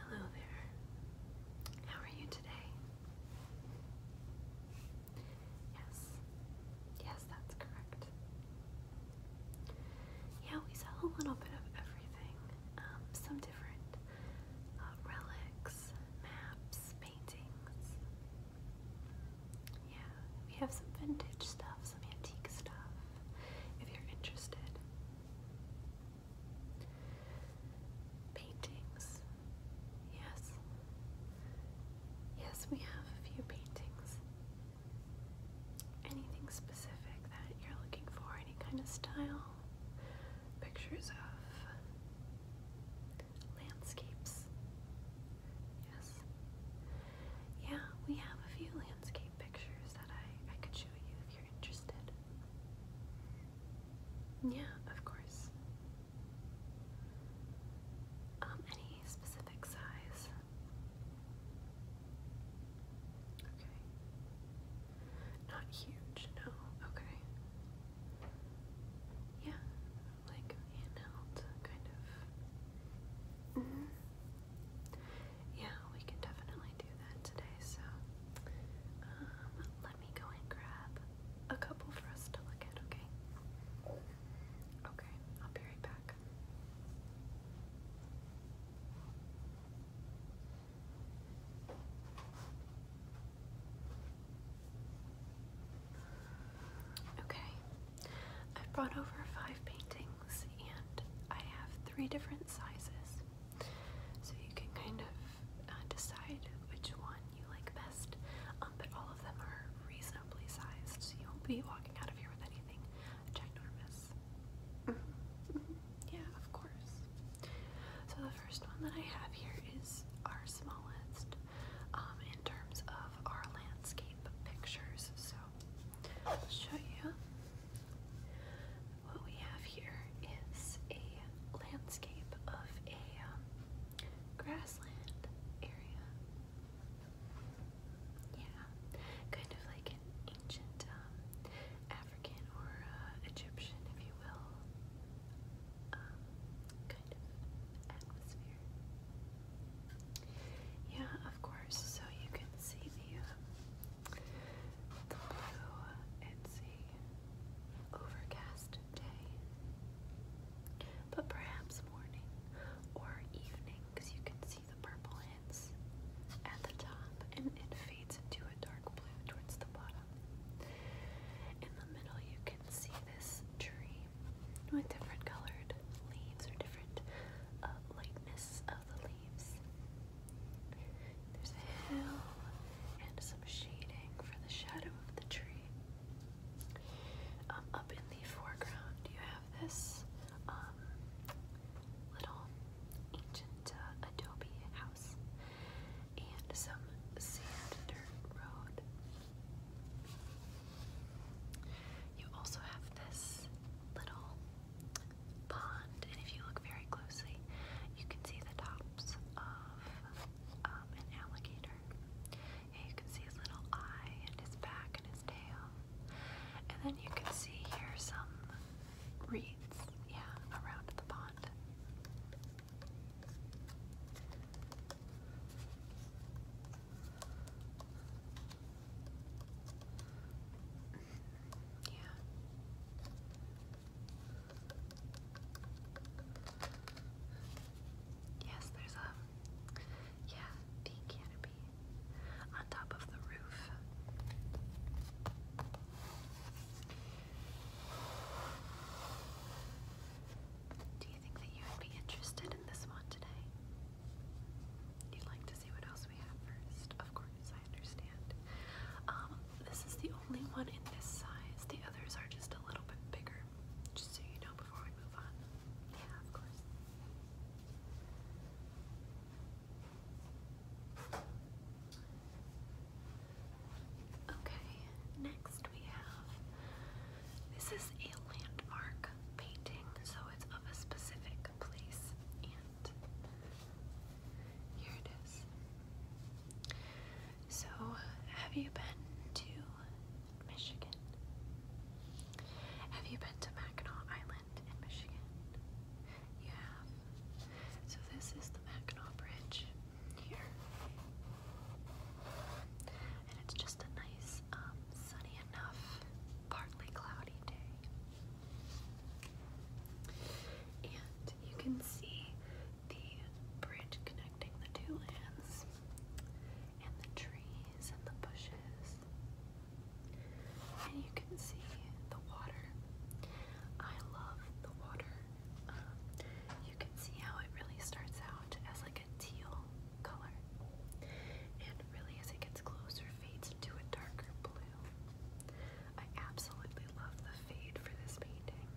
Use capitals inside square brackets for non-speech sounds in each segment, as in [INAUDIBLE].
Hello there. How are you today? Yes. Yes, that's correct. Yeah, we sell a little bit of everything. Um, some different uh, relics, maps, paintings. Yeah, we have some vintage stuff, some antique stuff, if you're interested. Paintings. Yes. Yes, we have a few paintings. Anything specific that you're looking for? Any kind of style? Pictures of landscapes? Yes. Yeah, we have a few landscapes pictures that I, I could show you if you're interested. Yeah, of course. Um, any specific size? Okay. Not huge, no. Okay. Yeah, like handheld, kind of. Mm-hmm yeah, we can definitely do that today. So um, let me go and grab a couple for us to look at, okay? Okay, I'll be right back. Okay, I've brought over five paintings and I have three different sizes. So you can kind of uh, decide which one you like best. Um, but all of them are reasonably sized, so you won't be walking out of here with anything ginormous. Mm-hmm. Mm-hmm. Yeah, of course. So the first one that I have here is our smallest um, in terms of our landscape pictures. So I'll show you what we have here is a landscape of a um, grassland area. Yeah, kind of like an ancient um, African or uh, Egyptian, if you will, um, kind of atmosphere. Yeah, of course. So you can see the the blue, it's a overcast day, but perhaps morning or evening because you can see the purple hints at the top and it fades into a dark blue towards the bottom. In the middle, you can see this tree with different colored leaves or different uh, lightness of the there's a hill and some shading for the shadow of the tree. Um, up in the foreground, you have this um, little ancient uh, adobe house and some sand dirt road. You also have this little pond, and if you look very closely, you can see the tops of um, an alligator. And you can see his little eye and his back and his tail. And then you can see here some reeds, yeah, around the pond. Yeah. Yes, there's a yeah, the canopy on top of the roof. Do you think that you would be interested in this one today? You'd like to see what else we have first, of course as I understand. Um, this is the only one in this size. The others are just a little bit bigger, just so you know before we move on. Yeah, of course. Okay, next we have this is a landmark painting, so it's of a specific place, so, have you been to Michigan? Have you been to Mackinac Island in Michigan? You have. So, this is the Mackinac Bridge here. And it's just a nice, um, sunny enough, partly cloudy day. And you can see the bridge connecting the two lands, and the trees and the bushes. And you can see the water. I love the water. Um, you can see how it really starts out as like a teal color, and really as it gets closer, fades into a darker blue. I absolutely love the fade for this painting.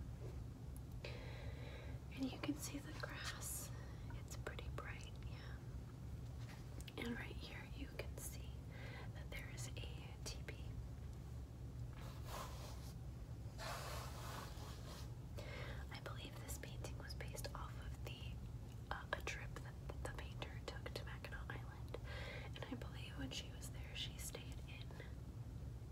And you can see the grass. It's pretty bright, yeah. And right here you can see that there is a teepee. I believe this painting was based off of the uh, a trip the painter took to Mackinac Island, and I believe when she was there, she stayed in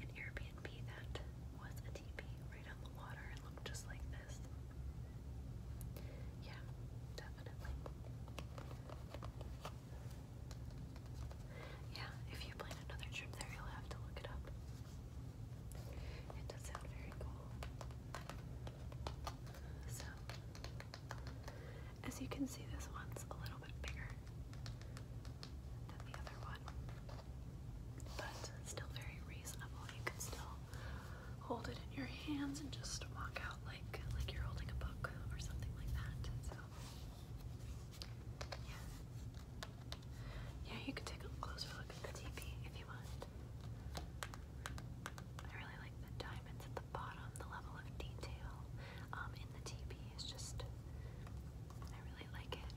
an Airbnb that was a teepee right on the water and looked just like this. Yeah, definitely. Yeah, if you plan another trip there, you'll have to look it up. It does sound very cool. So, as you can see, this one's a little bit bigger than the other one, but still very reasonable. You can still hold it in your hands and just walk out like like you're holding a book or something like that. So, yeah. Yeah, you can take a closer look at the teepee if you want. I really like the diamonds bottom, the level of detail um, in the TP is just, I really like it.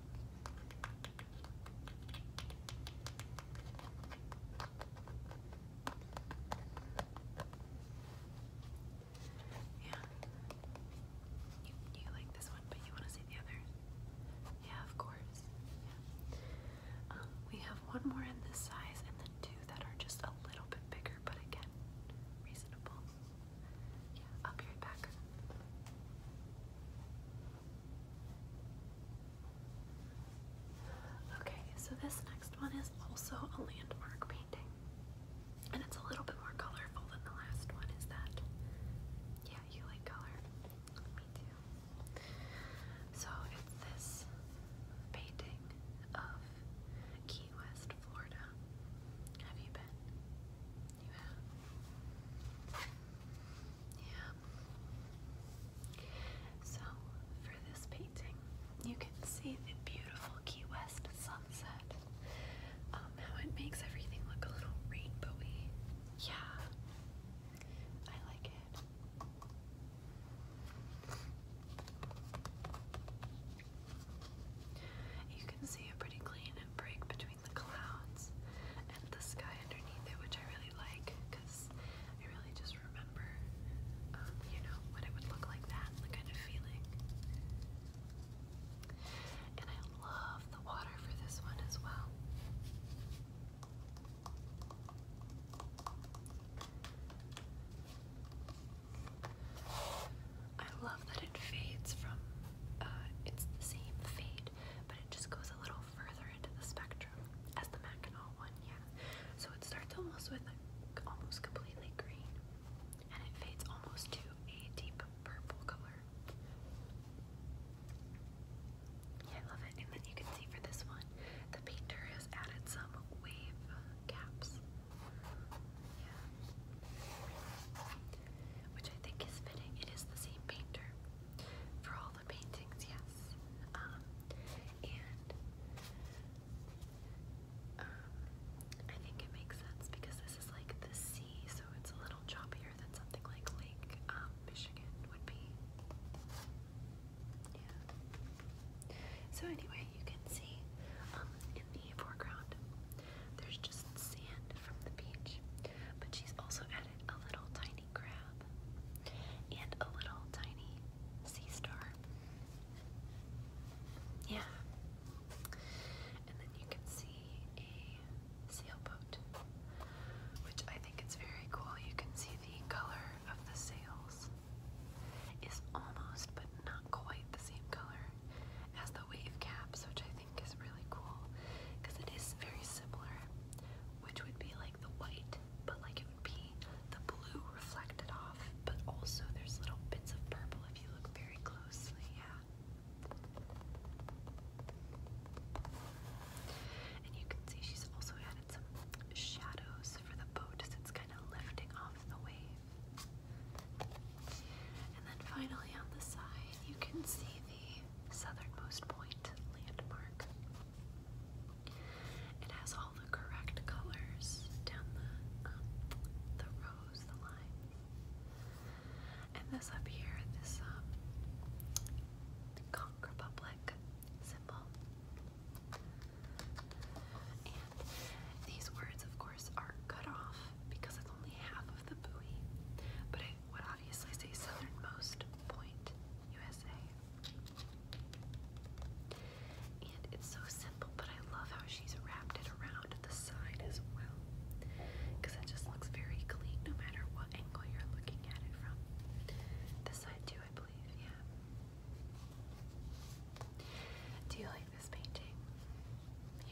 Yeah. You, you like this one, but you want to see the other? Yeah, of course. Yeah. Um, we have one more in this size and then two that are just a little bit bigger Okay, so this next one is also a landmark painting. And it's a little bit more colorful than the last one, is that? Yeah, you like color. Me too. So it's this painting of Key West, Florida. Have you been? You have? Yeah. So, for this painting, you can see the beautiful Key West sunset. Um, how it makes everything look a little rainbowy. Yeah. I like it. You can see a pretty clean break between the clouds and the sky underneath it, which I really like because I really just remember, um, you know, what it would look like that, the kind of feeling. And I love the water for this one as well. I love that it fades from, uh, it's the same fade, but it just goes a little further into the spectrum as the Mac and all one, yeah. So it starts almost with almost completely green, and it fades almost to a deep purple color. I love it. And then you can see for this one, the painter added some wave caps. Which I think is fitting. It is the same painter for all the paintings, yes. Um, and um, I think it makes sense because this is like the sea, so it's a little choppier than something like Lake um, Michigan would be. So anyway, you can see um, in the foreground there's just sand from the beach, but she's also added a little tiny crab and a little tiny sea star. Yeah. And then you can see a sailboat, which I think is very cool. You can see the color of the sails is almost but not quite the same color as the wave caps, which I think is really cool because it is very similar, which would be like the white, but like it would be the blue reflected off, but also there's little bits of purple if you look very closely. Yeah. And you can see she's also shadows for the boat as it's kind of lifting off the wave. And then finally on the side, you can see the southernmost point landmark. It has all the correct colors down the um, the rows, the lines. And this up here, this um, the Republic symbol and these words, of course, are cut off because it's only half of the buoy, but I would obviously say southernmost point, USA. And it's so simple, but I love how she's wrapped it around the side as well. Because it just looks very clean no matter what angle you're looking at it from. The side too, I believe, yeah. Do you like this painting?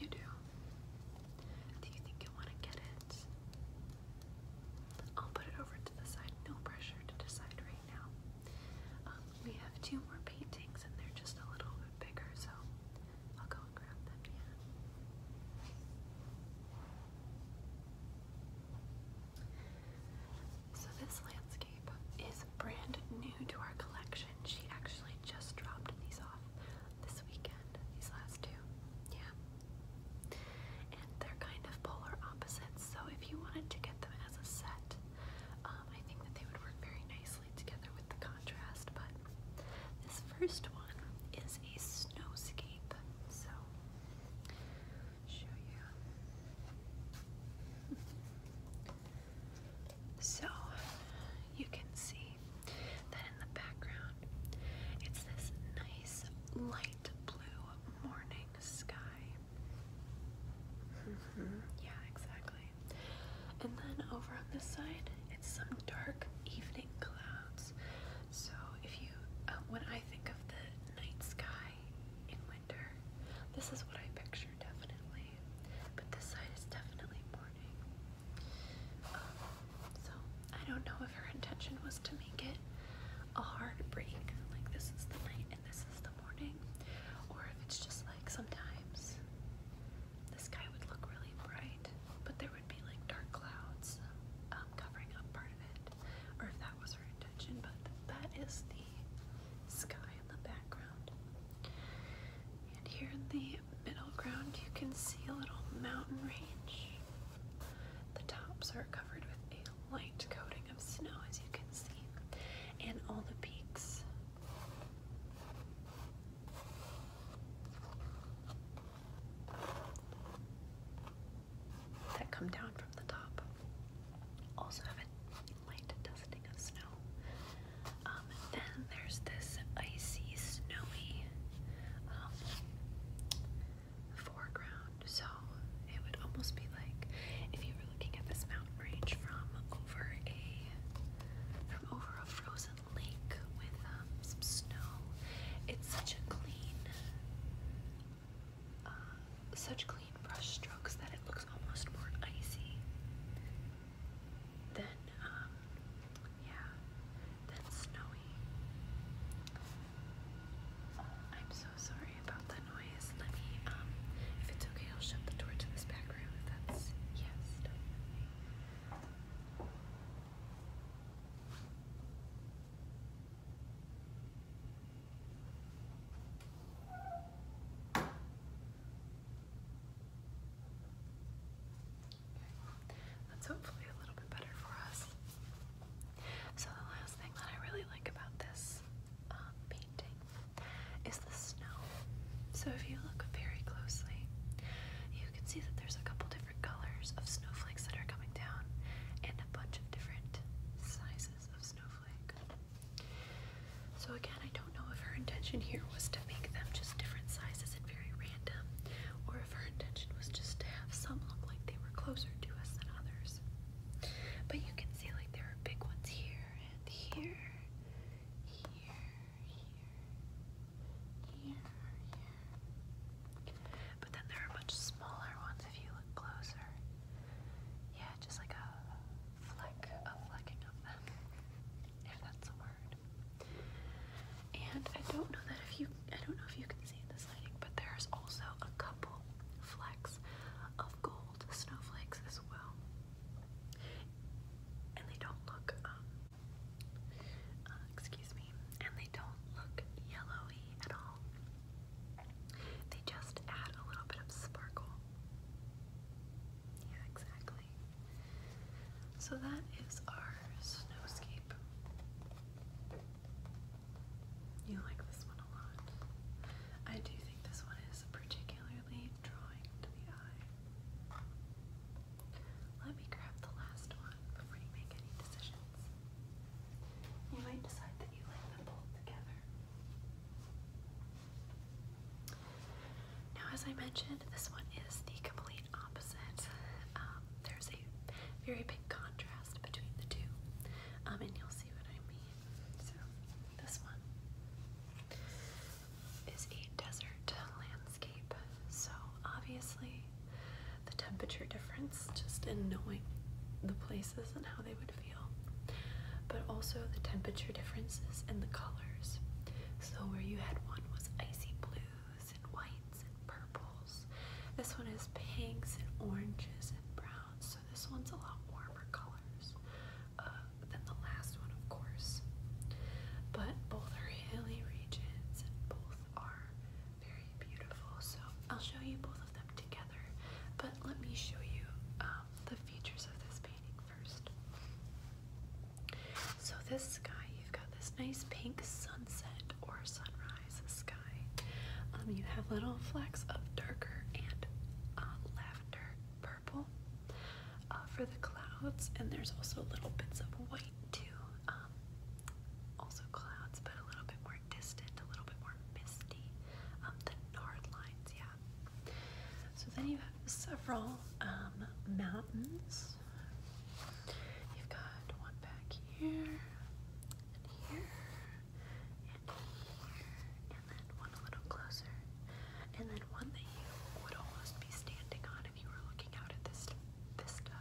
You do. Do you think you want to get it? I'll put it over to the side. No pressure to decide right now. Um, we have two more paintings and they're just a little bit bigger, so I'll go and grab them, yeah. So this landscape is brand new to our collection. She actually just dropped these off this weekend, these last two. Yeah. And they're kind of polar opposites, so if you wanted to get them as a set, um, I think that they would work very nicely together with the contrast. But this first one is a snowscape, so [LAUGHS] so you can see that in the background it's this nice light blue morning sky. Mm-hmm. Yeah, exactly. And then over on this side, it's some dark evening clouds. So if you, um, when I think of the night sky in this is what I picture definitely, but this side is definitely morning. Um, so I don't know if her intention was to make it a hard break, like this is the night and this is the morning, or if it's just like sometimes the sky would look really bright, but there would be like dark clouds um, covering up part of it, or that was but that is the sky in the background. And here in the middle ground, you can see a little mountain range. The tops are covered with a light coating of snow, as you can see, and all the peaks. That come down from the top also have light dusting of snow. Um, then there's this icy, snowy um, foreground. So it would almost be like if you were looking at this mountain range from over a from over a frozen lake with um, some snow. It's such a clean uh, such clean brush strokes that it looks almost more icy than, um, yeah, than snowy. I'm so sorry about the noise. Let me, um, if it's okay, I'll shut the door to this back room if that's, yes, definitely. That's hopefully a little bit better for us. So the last thing that I really like about this um, painting is the snow. So if you look very closely, you can see that there's a couple different colors of snowflakes that are coming down and a bunch of different sizes of snowflake. So again, I don't know if her intention here was to make them just different sizes and very random, or if her intention was just to have some look like they were closer to us than others. But you can see like there are big ones here and here, here, here, here, here. But then there are much smaller ones if you look closer. Yeah, just like a fleck of flecking of them, if that's a word. And I don't know that if you, I don't know if you can see this lighting, but there's also a couple flecks of gold snowflakes as well. And they don't look, um, uh, excuse me, and they don't look yellowy at all. They just add a little bit of sparkle yeah, exactly. So that is our snowscape. You like this one a lot. I do think this one is particularly drawing to the eye. Let me grab the last one before you make any decisions. You might decide that you like them both together. Now, as I mentioned, this one is the complete opposite. Um, there's a very big contrast between the two, um, and you'll see what I mean. So, this one is a desert landscape. So, obviously, the temperature difference, just in knowing the places and how they would feel but also the temperature differences and the colors. So, where you had one was icy blues and whites and purples, this one is pinks and oranges and browns. So, this one's a lot warmer colors uh, than the last one, of course. But both are hilly regions and both are very beautiful. So, I'll show you both of them together, but let me show you. Um, the features of this painting first. So this sky, you've got this nice pink sunset or sunrise sky. Um, you have little flecks of darker and uh, lavender purple uh, for the clouds, and there's also little bits of white too. Um, also clouds, but a little bit more distant, a little bit more misty. Um, the Nard lines, yeah. So then you have several um, mountains. You've got one back here, and here, and here, and then one a little closer, and then one that you would almost be standing on if you were looking out at this vista.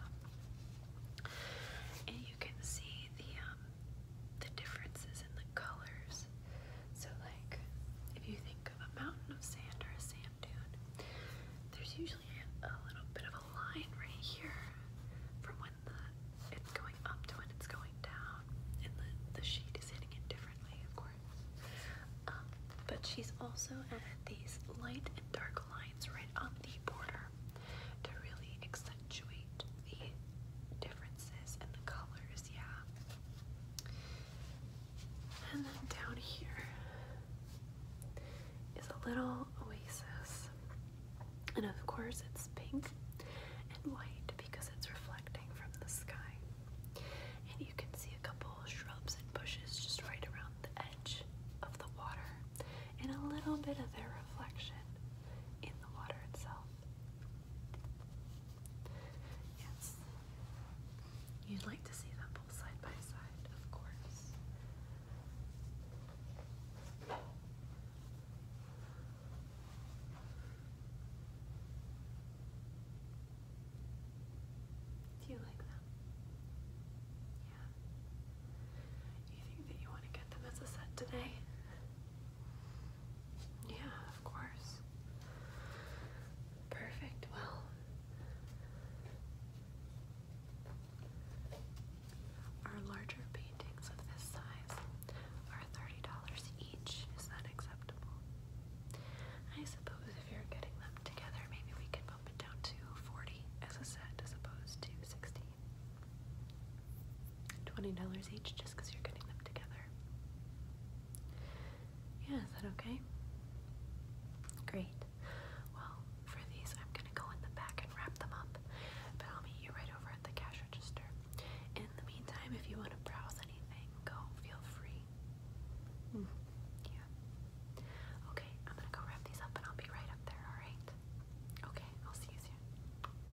And you can see the um, the differences in the colors. So, like, if you think of a mountain of sand or a sand dune, there's usually a, little bit of a line right here from when the it's going up to when it's going down, and the, the sheet is hitting it differently, of course. Um, but she's also added these light and dark lines right on the border to really accentuate accentuate the differences in the colors, yeah. And then down here is a little oasis. And of course, it's pink and white because it's reflecting from the sky. And you can see a couple of shrubs and bushes just right around the edge of the water and a little bit of their reflection in the water itself. Yes. You'd like to see them both side by side, of course. Do you like them? Yeah. Do you think that you want to get them as a set today? Yeah, of course. Perfect. Well, our larger paintings of this size are $30 each. Is that acceptable? I suppose if you're getting them together, maybe we can bump it down to 40 as a set as opposed to 60. $20 each just because you're getting them together. Yeah, is that okay? Great. Well, for these, I'm going to go in the back and wrap them up, but I'll meet you right over at the cash register. In the meantime, if you want to browse anything, go feel free. Hmm, yeah. Okay, I'm going to go wrap these up and I'll be right up there, alright? Okay, I'll see you soon.